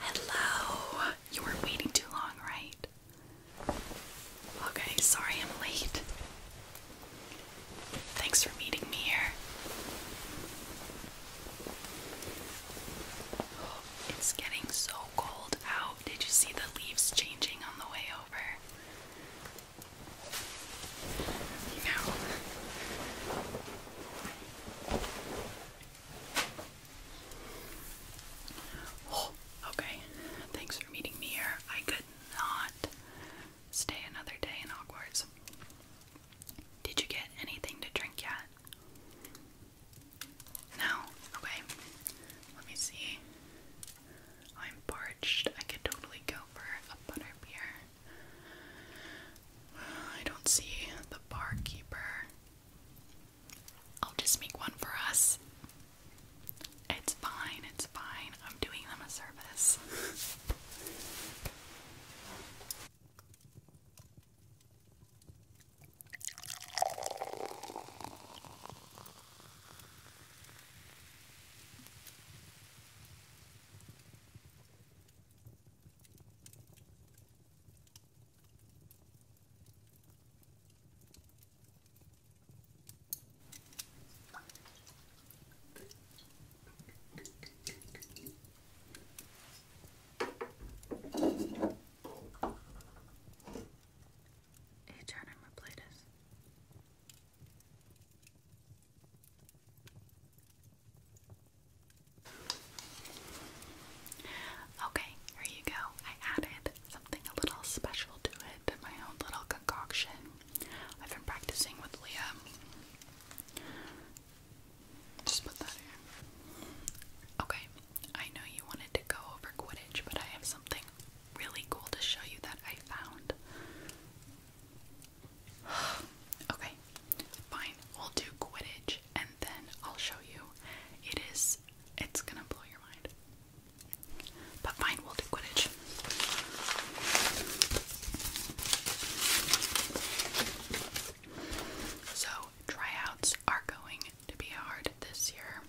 Hello. You were waiting too long, right? Okay, sorry I'm late. Thanks for meeting me here. it's getting so cold out. Did you see the leaves changing on the way over? Now. Oh, okay. Thanks for meeting me here. I could not Stay another day in Hogwarts. Did you get anything to drink yet? No? Okay. Let me see. I'm parched. I could totally go for a butter beer. I don't see the barkeeper. I'll just make one for us. It it's fine, it's fine. I'm doing them a service. Hey, Okay, here you go. I added something a little special to it, my own little concoction. I've been practicing with Leah. Okay, I know you wanted to go over Quidditch, but I have something really cool to show you that I found. okay, fine. We'll do Quidditch and then I'll show you. It is, it's gonna blow your mind. But fine, we'll do Quidditch. So, tryouts are going to be hard this year.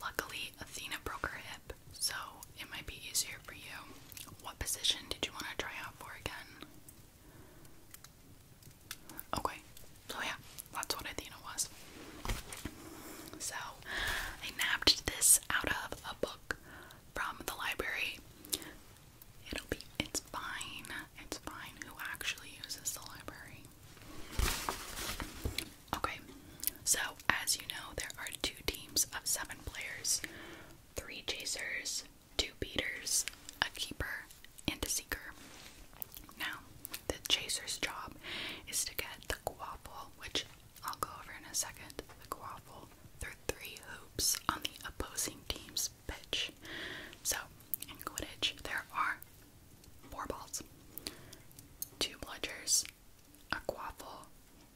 Luckily, Athena broke her hip, so it might be easier for you. What position did you want to try out for again? Okay, so yeah, that's what Athena was. So, I napped this out of a book from the library. It'll be it's fine. It's fine who actually uses the library. Okay. So, as you know, there are two teams of 7 players. 3 chasers, 2 beaters, a keeper, and a seeker. Now, the chaser's job is to get the quaffle, which I'll go over in a second, the quaffle through three hoops on the opposing team's pitch. So, in Quidditch, there are four balls, two bludgers, a quaffle,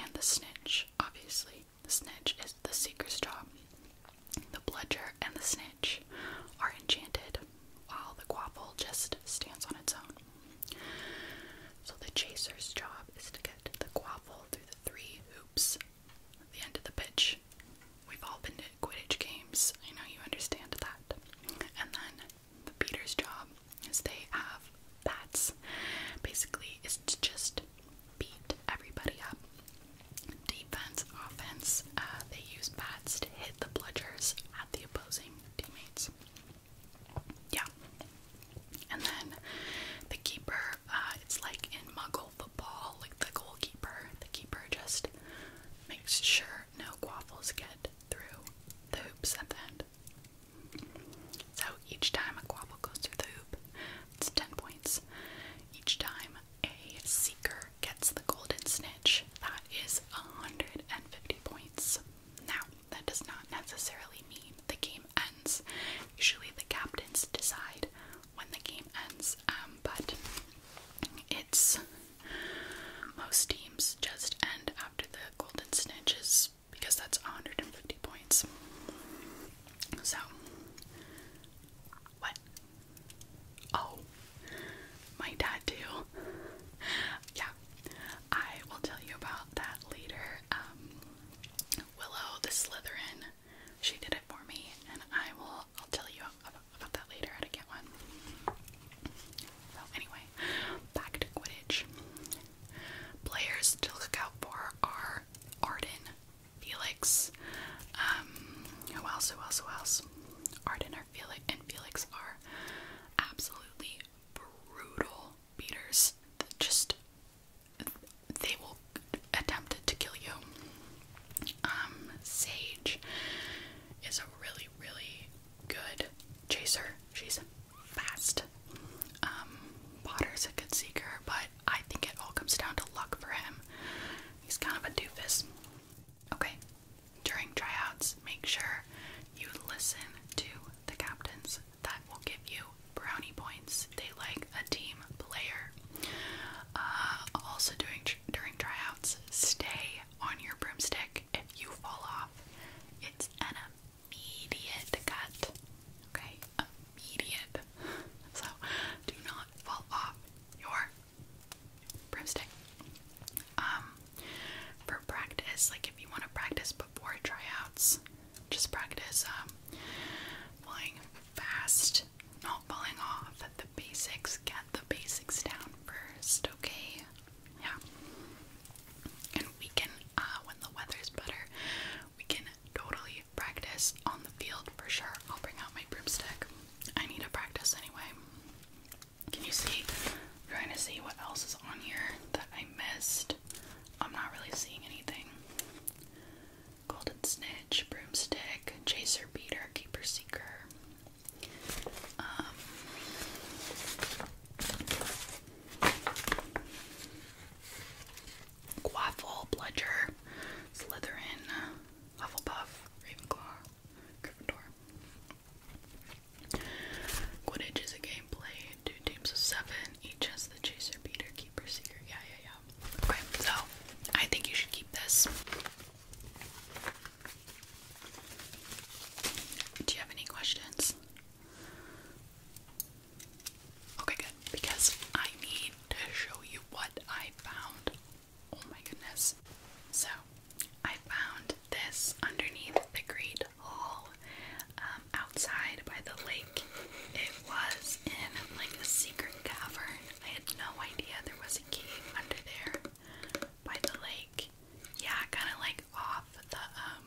and the snitch, obviously. The snitch is the seeker's job. The bludger and the snitch are enchanted, while the quaffle just stands on its own. So the chaser's job is to get the quaffle through the three hoop the end of the pitch. We've all been to Quidditch games, I know you understand that. And then the Peter's job is they have bats. Basically, it's to just beat everybody up. Defense, offense, uh, they use bats to hit the bludgers at the opposing teammates. Yeah. And then the keeper uh, it's like in Muggle football, like the goalkeeper. The keeper just makes sure no quaffles get through the hoops at the end. So each time a quaffle goes through the hoop, it's 10 points. Each time a seeker gets the golden snitch, that is 150 points. Now, that does not necessarily mean the game ends. Usually the captains decide when the game ends, um, but it's most teams just end after the golden snitches because that's 150 points. So, what? Oh, my tattoo. yeah, I will tell you about that later. Um, Willow the Slytherin she did it for me, and I will. I'll tell you about, that later how to get one. So anyway, back to Quidditch. Players to look out for are Arden, Felix. Um, who else? Who else? Who else? Arden or Felix and Felix are absolutely brutal beaters. Just they will attempt to kill you. Um, Sage is a really, really good chaser. She's fast. Um, Potter's a good seeker, but I think it all comes down to luck for him. He's kind of a doofus. Okay, during tryouts, make sure you listen to the captain's that will give you brownie points. They like a team player. Uh, also, during during tryouts, stay on your broomstick. If you fall off, it's an immediate cut. Okay, immediate. So do not fall off your broomstick. Um, for practice, like if you want to practice before tryouts, just practice um, flying fast, not falling off the basics. Get the basics down first, okay? Yeah. And we can, uh, when the weather's better, we can totally practice on the field for sure. I'll bring out my broomstick. I need to practice anyway. Can you see? trying to see what else is on here that I missed. I'm not really seeing anything golden snitch, broomstick, chaser, beater, keeper, seeker. Um, Quaffle, bludger, Slytherin, Hufflepuff, Ravenclaw, Gryffindor. Quidditch is a game played two teams of seven. Each has the chaser, beater, keeper, seeker. Yeah, yeah, yeah. Okay, so I think you should keep this. Do you have any questions? Okay, good. Because I need to show you what I found. Oh my goodness. So, I found this underneath the Great Hall um, outside by the lake was in like a secret cavern. I had no idea there was a cave under there by the lake. Yeah, kind of like off the um,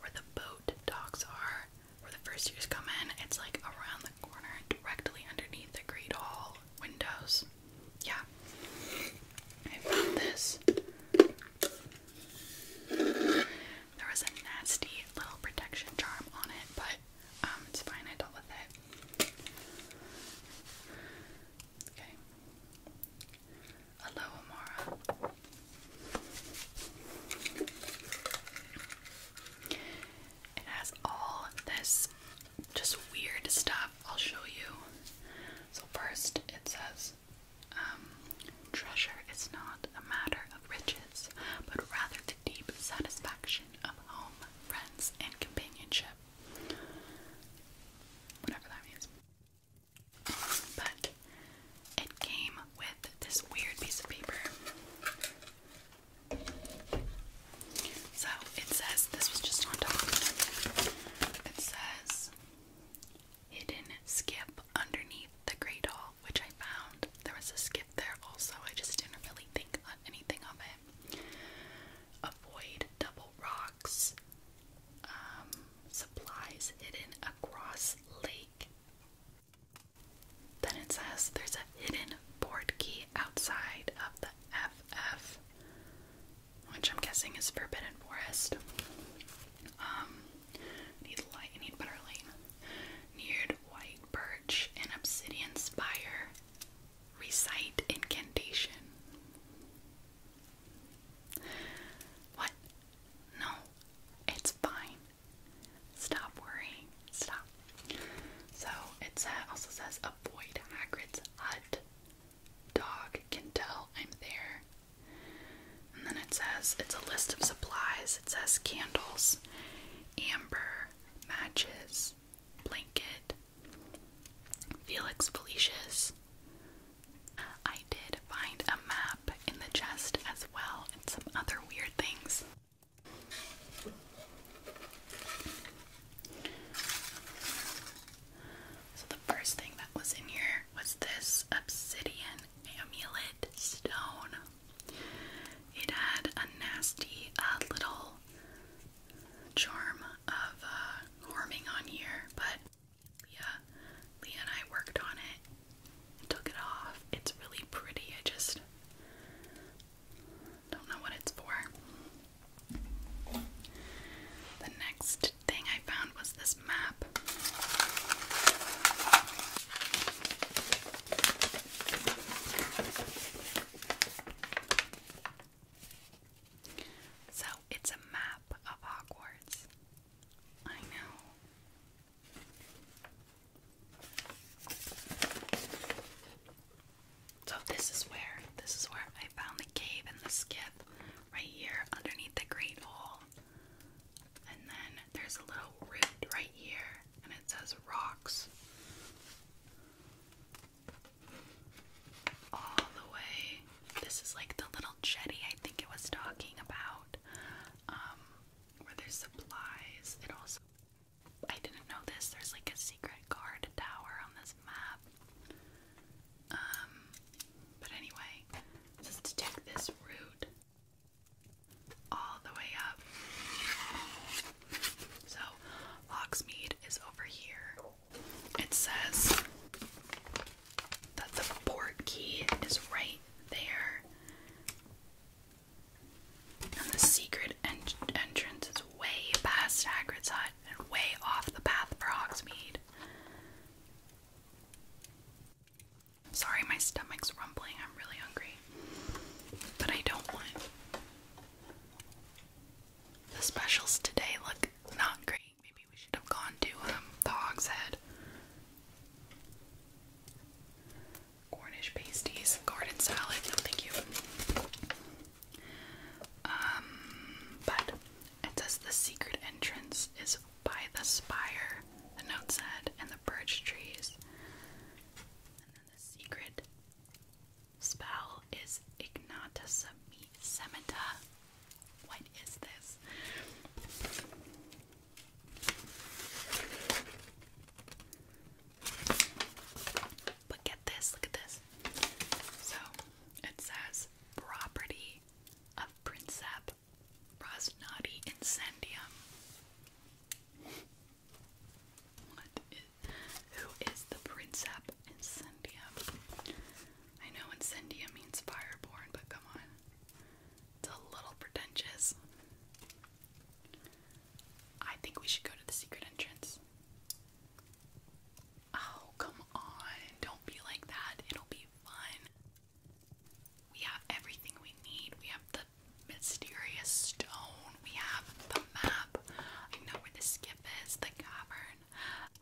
where the boat docks are, where the first years come in. It's like around the corner, directly underneath the Great Hall windows. Yeah, I found this. There was a nasty little protection charm on it, but um, it's fine. I dealt with it. Okay. Hello, Amara. It has all this just weird stuff. I'll show you. So, first, it says um, treasure is not a matter riches, but rather the deep satisfaction of home, friends, and companionship. Whatever that means. But it came with this weird piece of paper. So it says, this was just on top. It says, hidden skip underneath the great hall which I found. There was a skip there also, I just didn't really think anything of it. Avoid double rocks. Um, supplies hidden across lake. Then it says there's a hidden board key outside of the FF, which I'm guessing is Forbidden Forest. Um, need light, need better Neared White Bird forge an obsidian spire, recite incantation. What? No, it's fine. Stop worrying. Stop. So it also says avoid Hagrid's hut. Dog can tell I'm there. And then it says it's a list of supplies. It says candles, amber, matches, blanket, Felix Felicia's. I did find a map in the chest as well, and some other weird things. So, the first thing that was in here was this obsidian amulet stone. It had a nasty uh, little charm of uh, on here, but Leah, Leah and I worked on it took it off. It's really pretty. I just don't know what it's for. The next thing I found was this map. So it's a map of Hogwarts. I know. So this is where this is where I found the cave and the skip right here underneath the great hall. And then there's a little root right here and it says rocks all the way. This is like the little jetty I think it was talking about, um, where there's supplies. It also, I didn't know this, there's like a secret guard tower on this map. Um, but anyway, it take this route all the way up. So, Locksmead is over here. It says that the port key is right there. And the secret entrance is way past Hagrid's hut and way off the path for Hogsmeade. Sorry, my stomach's rumbling. I'm really hungry. But I don't want the specials today look not great. Maybe we should have gone to um, the Hog's Head. Cornish pasties, garden salad, no thank you. Um but it says the secret entrance is by the spire, the note said, and the birch trees the secret spell is Ignata Semita. What is this? But get this, look at this. So it says property of Princep Rosnati Incendium who is the Princep Incendia? I know Incendia means fireborn, but come on. It's a little pretentious. I think we should go to the secret entrance. Oh, come on. Don't be like that. It'll be fun. We have everything we need. We have the mysterious stone. We have the map. I know where the skip is, the cavern.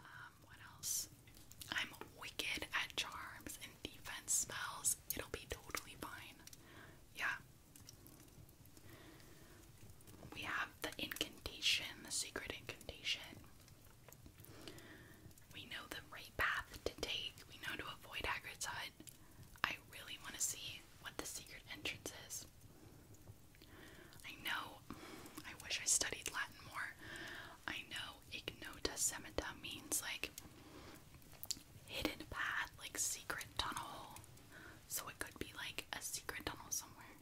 Um, what else? I'm wicked at charms and defense spells. It'll be totally fine. Yeah. We have the incantation, the secret incantation. We know the right path to take. We know to avoid Hagrid's I really want to see what the secret entrance is. I know, I wish I studied Latin more. I know ignota semita means like hidden path, like secret tunnel. So it could be like a secret tunnel somewhere.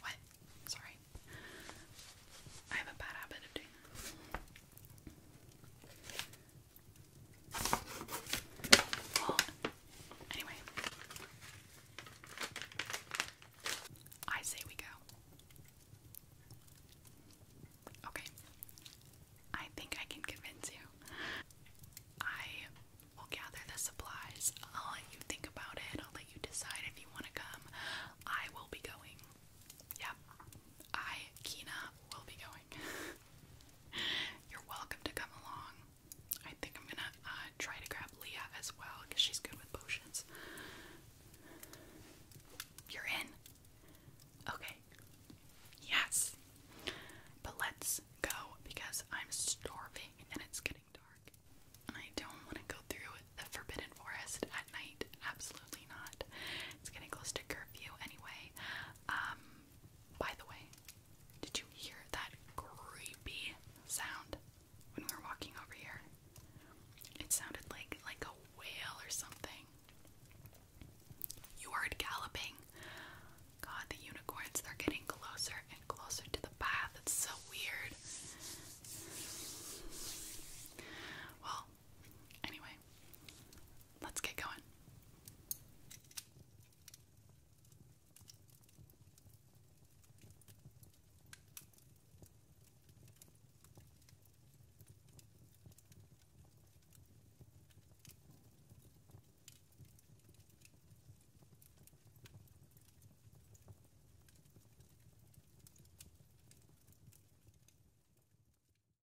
What? Sorry. I have a bad habit of doing anyway. I say we go. Okay. I think I can convince you. I will gather the supplies. I'll let you think about it. I'll let you decide if you want to come. I will be going. Yep. I, Kina, will be going. You're welcome to come along. I think I'm gonna uh, try to grab Leah as well because she's good with potions. You're in? Okay. Yes. But let's go because I'm starving and it's getting dark. And I don't want to go through the Forbidden Forest at night. Absolutely not. It's getting close to curfew anyway. Um, by the way, did you hear that creepy sound when we were walking over here? It sounded like like a whale or something. You heard galloping. God, the unicorns, they're getting closer and closer to the path. It's so weird. Well, anyway, let's get going.